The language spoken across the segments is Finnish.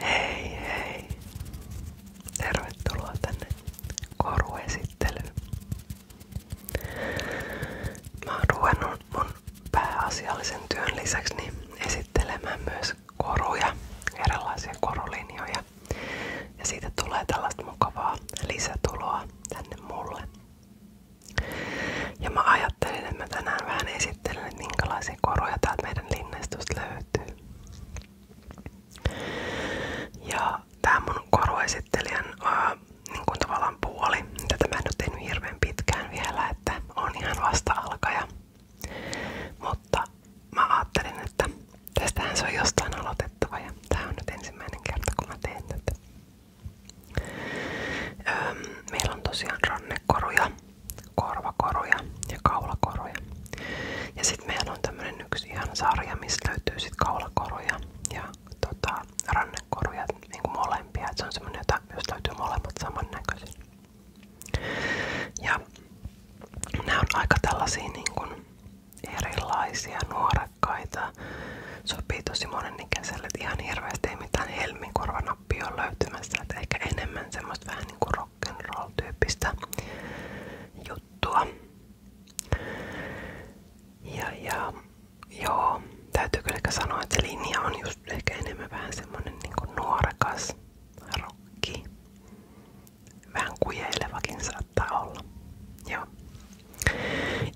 Hei hei! Tervetuloa tänne koruesittelyyn. Mä oon ruvennut mun pääasiallisen työn lisäksi niin esittelemään myös koruja, erilaisia korulinjoja. Ja siitä tulee tällaista mukavaa lisätuloa tänne mulle. Ja mä ajattelin, että mä tänään vähän esittelen, että minkälaisia minkälaisia koroja täältä meidän linnaistosta Ja tää mun koruesittelijän ää, niin kuin tavallaan puoli, tätä mä en pitkään vielä, että on ihan vasta alkaja. Mutta mä että tästähän se on jostain aloitettava ja tää on nyt ensimmäinen kerta kun meillä on tosiaan rannekoruja korvakoruja ja kaulakoruja. Ja sitten meillä on tämmönen yksi ihan sarja, missä löytyy sit kaulakoruja ja tota, rannekoruja, niinku molempia. Et se on semmonen, jota myös löytyy molemmat samannäköisiä. Ja nämä on aika tällaisia niinku erilaisia, nuorekkaita. Sopii tosi monen ikäiselle, ihan hirveästi ei mitään helminkorvanappia ole löytymässä. Et ehkä enemmän semmoista vähän niinku rocknroll juttua. Ja, ja joo, täytyy kyllä sanoa, että linja on just ehkä enemmän vähän semmonen niin nuorekas rokki. Vähän kujeilevakin olla. Joo.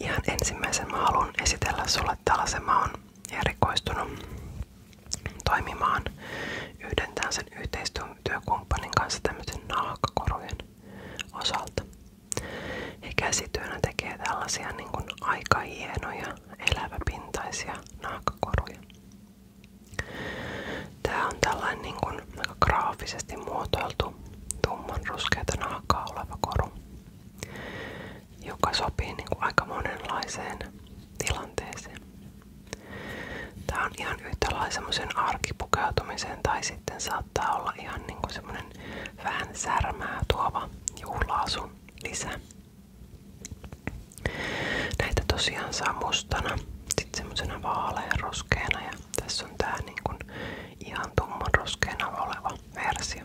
Ihan ensimmäisen mä haluan esitellä sulle tällaisen. Mä oon erikoistunut toimimaan yhden sen yhteistyökumppanin kanssa tämmöisen naakkakorujen osalta. He käsityönä tekee tällaisia niin kuin aika hienoja eläväpintaisia naakkakoruja. Tää on tällainen niin kuin, aika graafisesti muotoiltu tumman ruskeata naakkaa oleva koru, joka sopii niin kuin, aika monenlaiseen tilanteeseen. Tämä on ihan yhtä lailla semmoisen arkipukeutumiseen tai sitten saattaa olla ihan niinku semmoinen vähän särmää tuova juhlaasun lisä. Näitä tosiaan saa mustana, sitten semmoisena vaalean ruskeana ja tässä on tää niinku ihan tumman ruskeana oleva versio.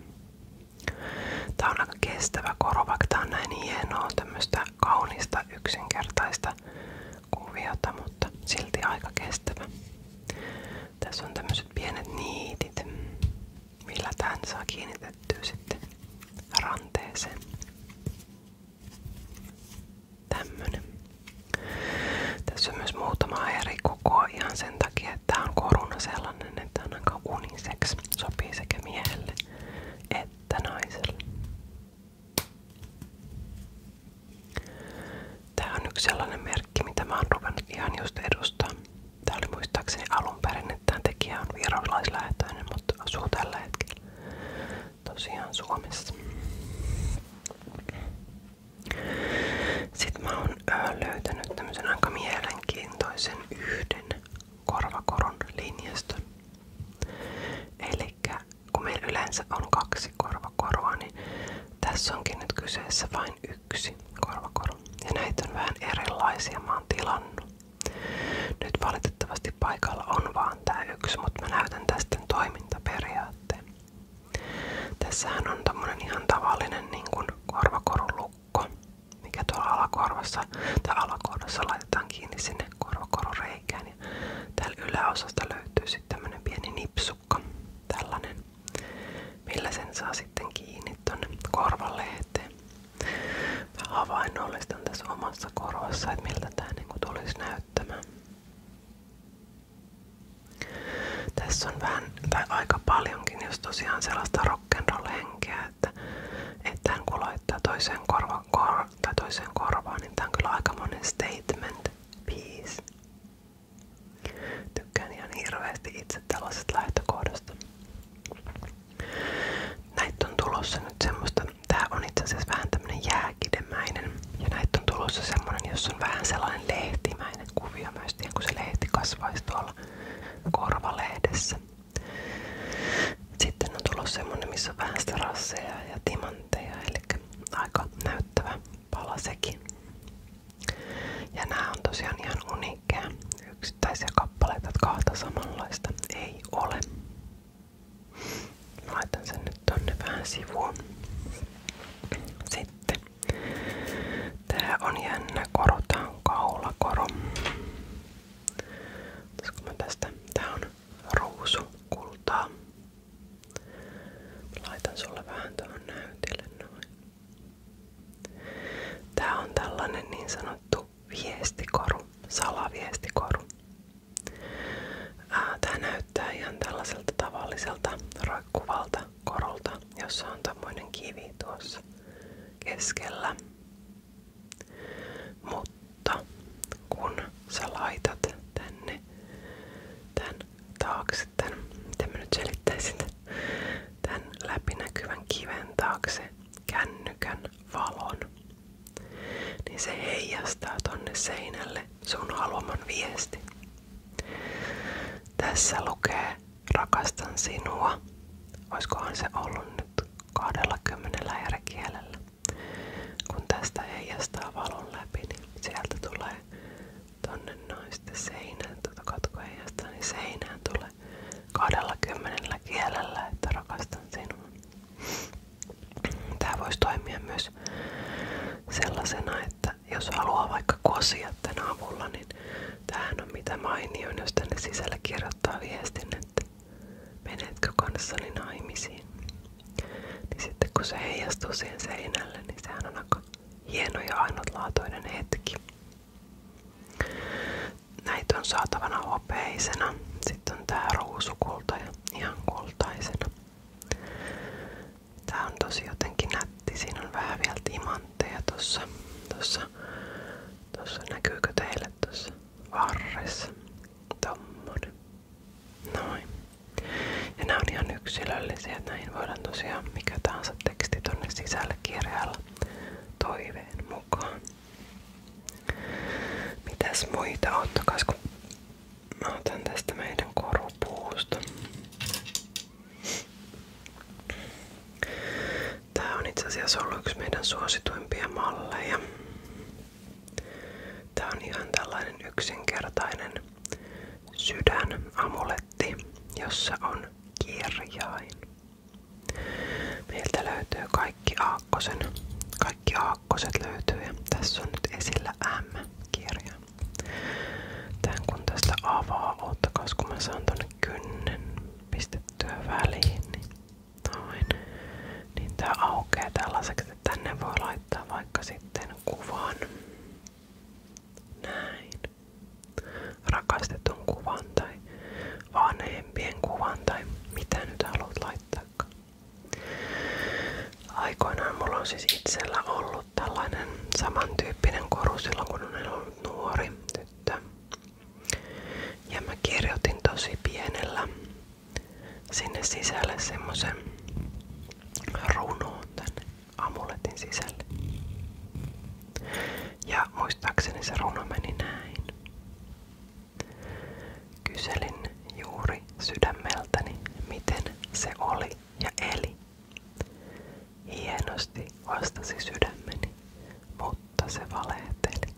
Tää on aika kestävä koro, vaikka on näin hienoa, on yhtä kaunista yksinkertaista kuviota, mutta silti aika kestävä. Tässä on tämmöiset pienet niitit, millä tämän saa kiinnitettyä sitten ranteeseen. Tämmönen. Tässä on myös muutama eri koko, ihan sen takia, että tämä on koruna sellainen, että on aika uniseksi. Sopii sekä miehelle että kättä naiselle. Tää on yksi merkki, mitä mä oon ihan just edustaa. Tää oli muistaakseni että tää tekijä on virolaislähetöinen, mutta asuu tällä tosiaan Suomessa. Sitten mä oon löytänyt tämmöisen aika mielenkiintoisen yhden korvakoron linjaston. Eli kun meillä yleensä on kaksi korvakoroa, niin tässä onkin nyt kyseessä vain yksi korvakoro. Ja näitä on vähän erilaisia, mä oon tilannut. Nyt valitettavasti paikalla on vaan tää yksi, mutta mä näytän tästä toimintaperiaatteen. Tässähän on tämmönen ihan tavallinen niin korvakorulukko mikä tuolla alakorvassa tai alakorvassa laitetaan kiinni sinne korvakorureikään. Ja täällä yläosasta löytyy sitten tämmönen pieni nipsukka, tällainen, millä sen saa sitten kiinni tonne korvalle eteen. Mä havainnollistan tässä omassa korvassa, että miltä tää niinku tulisi näyttämään. Tässä on vähän tai aika paljonkin, jos tosiaan sellaista rock'n'roll henkeä, että, että hän kun laittaa toiseen, korva, kor, tai toiseen korvaan, niin tämä on kyllä aikamoinen statement piece. Tykkään ihan hirveästi itse tällaisesta lähtökohdasta. Näitä on tulossa nyt semmoista, tää on itse asiassa vähän tämmönen jääkidemäinen ja näitä on tulossa semmonen, jossa on vähän sellainen lehtimäinen kuvio myös, kun se lehti kasvaisi tuolla korvalehdessä. Sitten on tullut semmonen, missä on vähän sitä rasseja ja timantteja, eli aika näyttävä pala sekin. Ja nämä on tosiaan ihan uniikkeja yksittäisiä kappaleita, että kahta samanlaista ei ole. Mä laitan sen nyt tonne vähän sivuun. Sitten tää on jännä koro, tää on kaulakoro. Olisiko mä tästä? Tää on ruusu kultaa. Mä laitan sulle vähän tuohon näytille noin. Tää on tällainen niin sanottu viestikoru, salaviestikoru. Ää, tää näyttää ihan tällaiselta tavalliselta roikkuvalta korolta, jossa on tämmöinen kivi tuossa keskellä. Mutta kun sä tänne tän taakse, tän, miten mä tän läpinäkyvän kiven taakse kännykän valon, niin se heijastaa tonne seinälle sun haluaman viesti. Tässä lukee rakastan sinua. Oiskohan se ollut nyt 20 eri Kun tästä heijastaa valon läpi, niin sieltä tulee tonne noin sitten seinään, tuota katko heijastaa, niin tulee 20 kielellä, että sinua. Tämä voisi toimia myös sellaisena, että jos haluaa vaikka kosia tämän avulla, niin tämähän on mitä mainioin, jos tänne sisälle kirjoittaa viestin, että menetkö kanssani naimisiin. Niin sitten kun se heijastuu siihen seinälle, niin on aika hieno ja hetki. Näitä on saatavana hopeisena, sitten on tää ruusukulta kultaisena. Tää on tosi nätti, siinä on tossa. Tossa, tossa näkyykö teille näet tuossa varressa. Tommonen. Noin. Ja nämä on ihan yksilöllisiä, että näihin voidaan tosiaan mikä tahansa teksti tonne sisälle kirjailla toiveen mukaan. Mitäs muita ottakas, kun mä otan tästä meidän korupuusta. Tää on itse asiassa ollut yksi meidän suosituimpia malleja. Tää on ihan tällainen yksinkertainen sydänamuletti, jossa on kirjain. Meiltä löytyy kaikki aakkosen. Kaikki aakkoset löytyy ja tässä on nyt esillä M-kirja. Tän kun tästä avaa, ottakas kun mä saan tonne kynnen pistettyä väliin, niin Noin. Niin tää aukeaa tällaiseksi, että tänne voi laittaa vaikka sitten kuvan. Näin. Rakastetun kuvan tai vanhempien kuvan tai mitä nyt haluat laittaa. Aikoinaan mulla on siis itsellä ollut tällainen samantyyppinen koru silloin kun on ollut nuori tyttö. Ja mä kirjoitin tosi pienellä sinne sisälle semmosen runoon tänne amuletin sisälle. Ja muistaakseni se runo meni näin. Kyselin juuri sydämeltäni, miten se oli ja eli. Hienosti vastasi sydämeni, mutta se valehteli.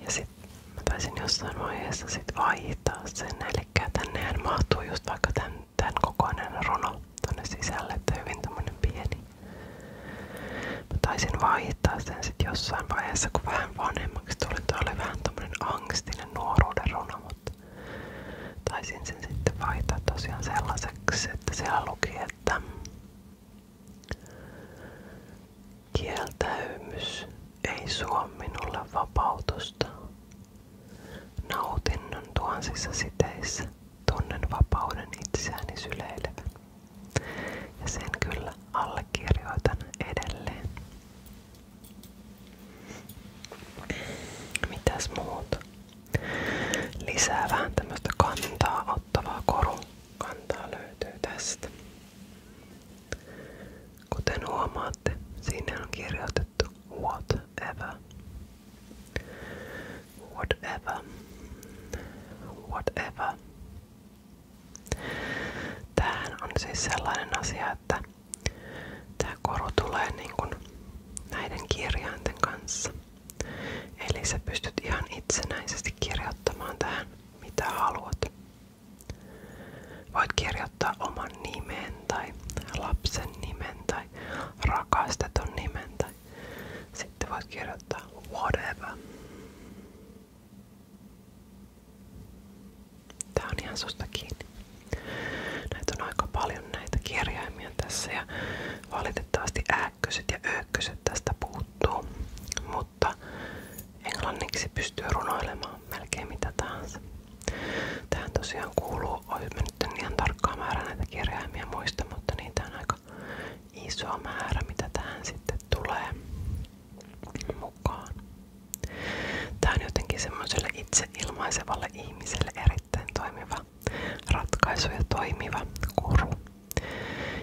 Ja sit mä taisin jossain vaiheessa sit vaihtaa sen, eli tännehän mahtuu just vaikka tämän, tämän kokoinen runo tonne sisälle, että hyvin tämmönen pieni. Mä taisin vaihtaa sen sit jossain vaiheessa, kun vähän vanhemmaksi tuli, toi oli vähän tämmönen angstinen nuoruuden runo, mutta taisin sen sitten vaihtaa tosiaan sellaiseksi, että siellä luki, että Kieltäymys ei suo vapautusta. Nautinnon tuhansissa siteissä tunnen vapauden itseäni syleilevän. sen kyllä allekirjoitan edelleen. Mitäs muuta? Lisää vähän tämmöstä kantaa ottavaa korua. Kantaa löytyy Kuten huomaatte, sinne on kirjoitettu whatever. Whatever. Whatever. Tämähän on siis sellainen asia, että tämä koru tulee niin näiden kirjainten kanssa. Eli sä pystyt ihan itsenäisesti kirjoittamaan tähän, mitä haluat. Voit kirjoittaa oman nimen tai lapsen nimen tai rakastetun nimen tai sitten voit kirjoittaa whatever. Tää on ihan susta kiinni. Näitä on aika paljon näitä kirjaimia tässä ja valitettavasti ääkköset ja öökköset tästä puuttuu, mutta englanniksi pystyy runoilemaan melkein mitä tahansa. Tähän tosiaan kuuluu, olen nyt en ihan tarkkaa määrää näitä kirjaimia muista, mutta niitä on aika iso määrä, mitä tähän sitten tulee mukaan. Tää on jotenkin semmoiselle itse ilmaisevalle ihmiselle erittäin toimiva hyvä ratkaisuja toimiva kuru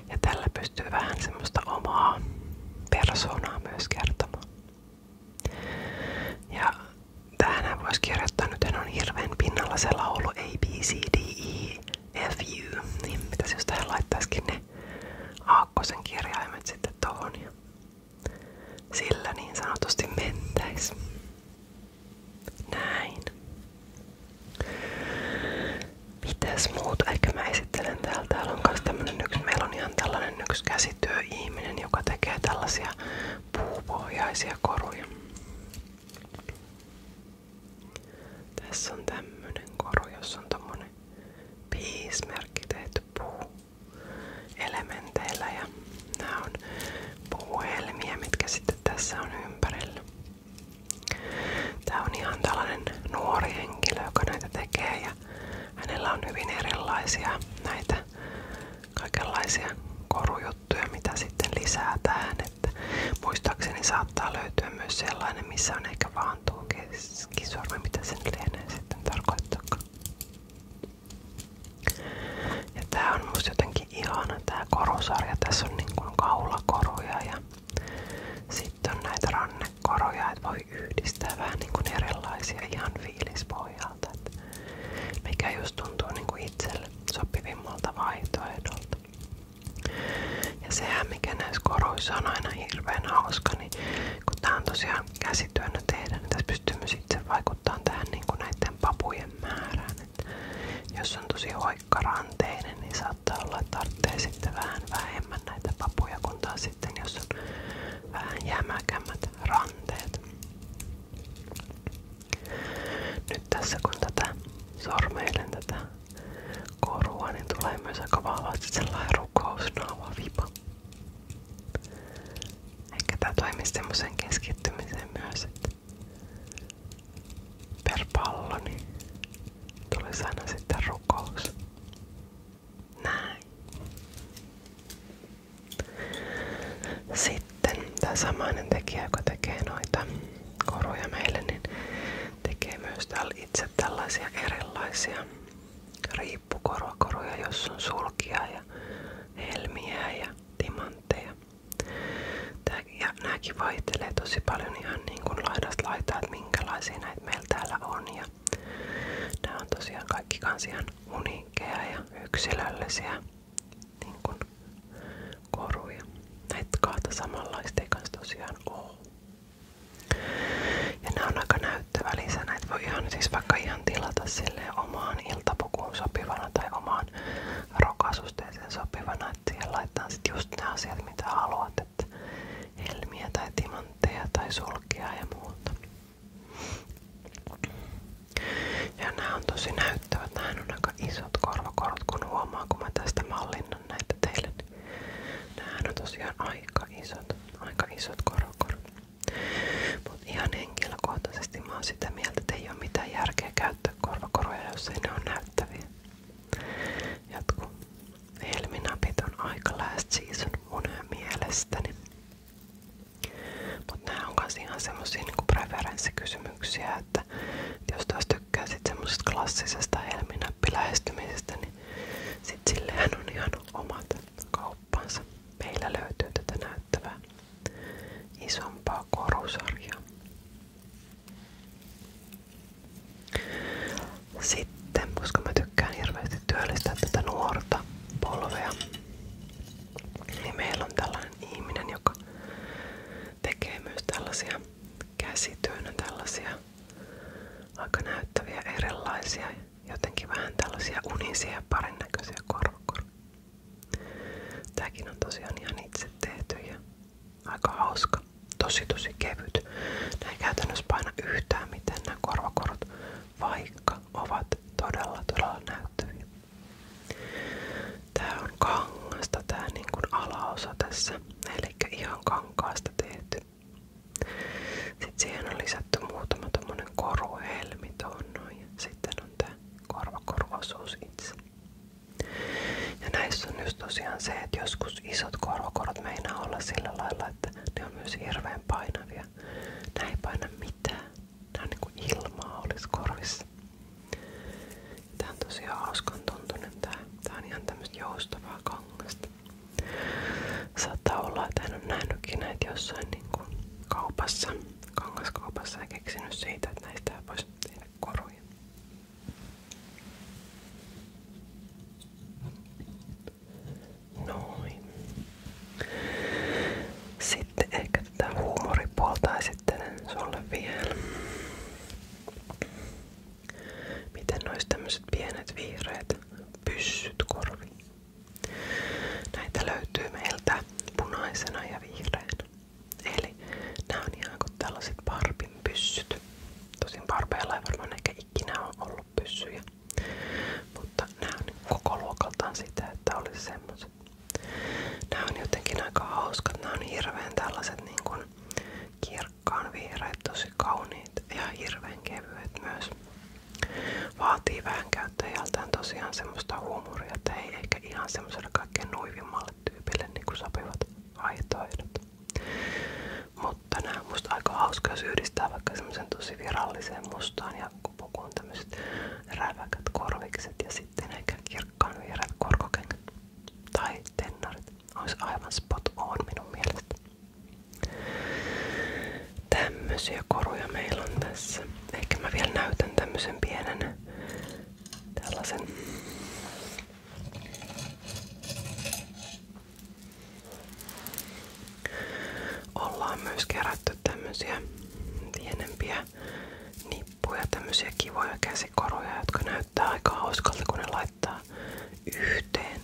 Ja tällä pystyy vähän semmoista omaa persoonaa myös kertomaan. Ja tähän voisi kirjoittaa, nyt en on hirveän pinnalla se laulu A, B, C, D, E, F, U. Niin mitäs jos tähän laittaisikin ne aakkosen kirjaimet sitten tohon ja sillä niin sanotusti mentäis. Näin. Mitäs muut? Ehkä mä esittelen täällä. Täällä on myös tämmönen yksi, meillä on ihan tällainen yksi käsityöihminen, joka tekee tällaisia puupohjaisia koruja. Tässä on tämmönen koru, jossa on tommonen piismerkki tehty puuelementeillä ja nämä on puuhelmiä, mitkä sitten tässä on ympärillä. Tämä on ihan tällainen nuori henkilö, joka näitä tekee ja hänellä on hyvin erilaisia näitä kaikenlaisia korujuttuja, mitä sitten lisätään. Että saattaa löytyä myös sellainen, missä on ehkä vaan mitä sen lienee sitten tarkoittaakaan. Ja tää on musta jotenkin ihana tää korusarja. Tässä on niin kuin kaulakoruja ja sitten on näitä rannekoroja, että voi yhdistää vähän niin kuin erilaisia ihan fiilispohjalta. Että mikä just tuntuu niin kuin itselle sopivimmalta vaihtoehdolta. Ja sehän mikä näissä koroissa on aina hirveän hauska, niin kun tää on tosiaan käsityönä tehdä, niin tässä pystyy myös itse vaikuttamaan tähän niin kuin näiden papujen määrään. Et jos on tosi vaikka ranteinen, niin saattaa olla, että tarvitsee sitten vähän vähemmän näitä papuja, kun taas sitten jos on vähän jämäkämmät ranteet. Nyt tässä kun tätä sormeilen tätä korua, niin tulee myös aika vahvasti sellainen rukousnaava vipa. Ehkä tämä toimii semmoisen keskittymiseen myös, että per pallo, niin sitten rukous. Näin. Sitten tämä samainen tekijä, joka koruja meille, niin tekee myös täällä tällaisia erilaisia riippukoruja, jossa on sulkia ja helmiä ja timantteja. Tää, ja nämäkin vaihtelee tosi paljon ihan niin kuin laidasta laitaa, että minkälaisia näitä meillä täällä on. Ja nämä on tosiaan kaikki kans ihan uniikkeja ja yksilöllisiä niin kuin koruja. Näitä kahta samanlaista ei kans tosiaan oo. Ja nämä on aika näyttävä lisä. Näitä voi ihan, siis vaikka ihan tilata silleen omaan iltapukuun sopivana tai omaan rokasusteeseen sopivana, että siihen laitetaan sit just ne asiat mitä haluat, että helmiä tai timantteja tai sulkia ja muuta. Ja nämä on tosi näyttävät, nämä on aika isot korvakorot, kun huomaa kun mä tästä mallinnan näitä teille. Niin nämä on tosiaan aika isot, aika isot korvakorot. Mutta ihan henkilökohtaisesti mä oon sitä mieltä, että ei ole mitään järkeä käyttää korvakoruja, jos ei ne on näyttäviä. Jatkuu. Helminapit on aika last season mun mielestäni. Mutta nämä on myös ihan semmosia niinku preferenssikysymyksiä, että, että jos taas tykkää sit semmosesta klassisesta helminappilähestymisestä, niin sit sillähän on ihan omat kauppansa. Meillä löytyy tätä näyttävää isompaa korusarjaa. Sitten, koska mä tykkään hirveästi työllistää tätä nuorta polvea, niin meillä on tällainen ihminen, joka tekee myös tällaisia käsityönä tällaisia aika näyttäviä erilaisia, jotenkin vähän tällaisia unisia ja parin näköisiä korkor. Tääkin on tosiaan ihan itse tehty ja Aika hauska. Tosi tosi kevyt. Nää ei käytännössä paina yhtään mitään nämä korvakorot, vaikka ovat todella todella näyttäviä. Tää on kangasta tää niin kuin alaosa tässä. Eli ihan kankaasta tehty. Sitten siihen on lisätty muutama tommonen koruhelmi tuohon noin. Sitten on tää korvakoruosuus itse. Ja näissä on just tosiaan se, että joskus isot korkokorot meinaa olla sillä lailla, että ne on myös hirveän painavia. Nämä ei paina mitään. Nämä on niin kuin ilmaa olis korvissa. Tää on tosiaan hauskan tuntunen tää. Tää on ihan tämmöstä joustavaa kangasta. Saattaa olla, että en ole nähnytkin näitä jossain niin kuin kaupassa, kangaskaupassa ja keksinyt siitä, että näistä voisi tehdä koruja. Noin. Sitten ehkä tätä huumoripuolta esittelen sulle vielä. Miten nois tämmöiset pienet vihreät pyssyt korviin? Näitä löytyy meiltä punaisena ja vihreänä. Eli nämä on ihan tällaiset Barbin pyssyt. Tosin Barbeilla ei varmaan ehkä ollut pyssyjä. Mutta nämä on koko luokaltaan sitä, että olisi semmoiset. Nämä on jotenkin aika hauskat. Nämä on tällaiset niin kuin kirkkaan tosi kauniit ja hirveän myös. Vaatii vähän käyttäjältään tosiaan semmoista huumoria, että ei ehkä ihan semmoiselle kaikkein nuivimmalle tyypille niin kuin sopivat vaihtoehdot. Mutta nämä on musta aika hauska, jos yhdistää vaikka semmoisen tosi viralliseen mustaan ja pukuun tämmöiset räväkät korvikset ja sitten ehkä kirkkaan vierät korkokengät tai tennarit. Olisi aivan spot on minun mielestä. Tämmöisiä koruja meillä on tässä. Ehkä mä vielä näytän tämmöisen pienen tällaisen Ollaan myös kerätty tämmösiä pienempiä nippuja, tämmösiä kivoja käsikoruja, jotka näyttää aika kun ne laittaa yhteen.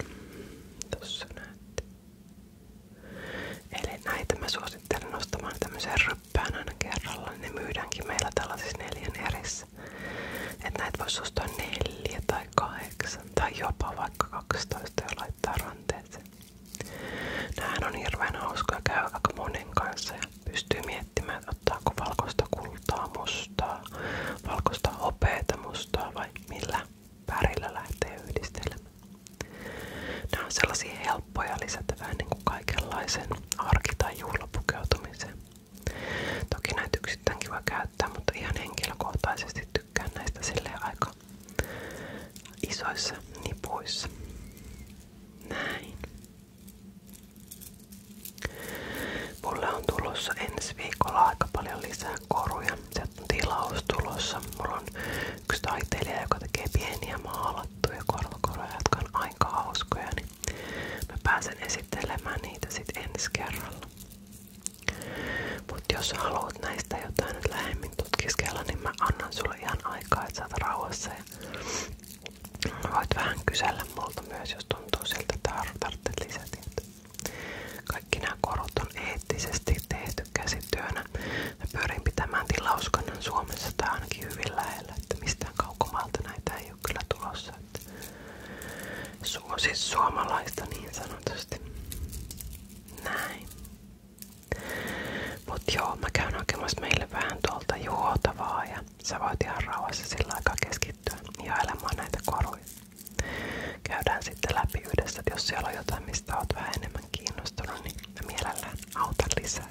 Tossa Eli näitä mä suosittelen ostamaan tämmöisen ryppään aina kerralla. Ne myydäänkin meillä tällaisissa neljän erissä viisi. Että näitä tai kahdeksan tai jopa vaikka 12 ja ranteeseen. Nämähän on hirveän hauskoja käy aika monen kanssa ja pystyy miettimään, vai millä värillä lähtee yhdistelemään. Nämä on sellaisia helppoja lisätä vähän niin kuin kaikenlaisen arki- tai juhlapukeutumiseen. Toki näitä yksittäin kiva mutta ihan henkilökohtaisesti tykkään näistä silleen aika isoissa nipuissa. Näin. Mulle on tulossa ensi viikolla aika paljon lisää koruja. Sieltä tilaus tulossa. Mulla on yksi taiteilija, joka tekee maalattuja korvakoruja, jotka on aika Niin Mä pääsen esittelemään niitä sitten ensi kerralla. Mut jos haluat näistä jotain nyt lähemmin tutkiskella, niin mä annan sulle ihan aikaa, että saat rauhassa. Ja voit vähän kysellä multa myös, jos tuntuu siltä, että tarvitset lisätietoa. Kaikki nämä korot on eettisesti tehty käsityönä. Mä pyörin pitämään tilauskannan Suomessa tai ainakin hyvin lähellä, että mistään kaukomaalta näitä ei ole kyllä tulossa. Suosi siis suomalaista niin sanotusti. Näin. Mut joo, mä käyn hakemassa meille vähän tuolta juotavaa ja sä voit ihan rauhassa sillä aikaa keskittyä ihailemaan näitä koruja. Käydään sitten läpi yhdessä, että jos siellä on jotain, mistä oot vähän enemmän kiinnostunut, niin mä mielellään autan lisää.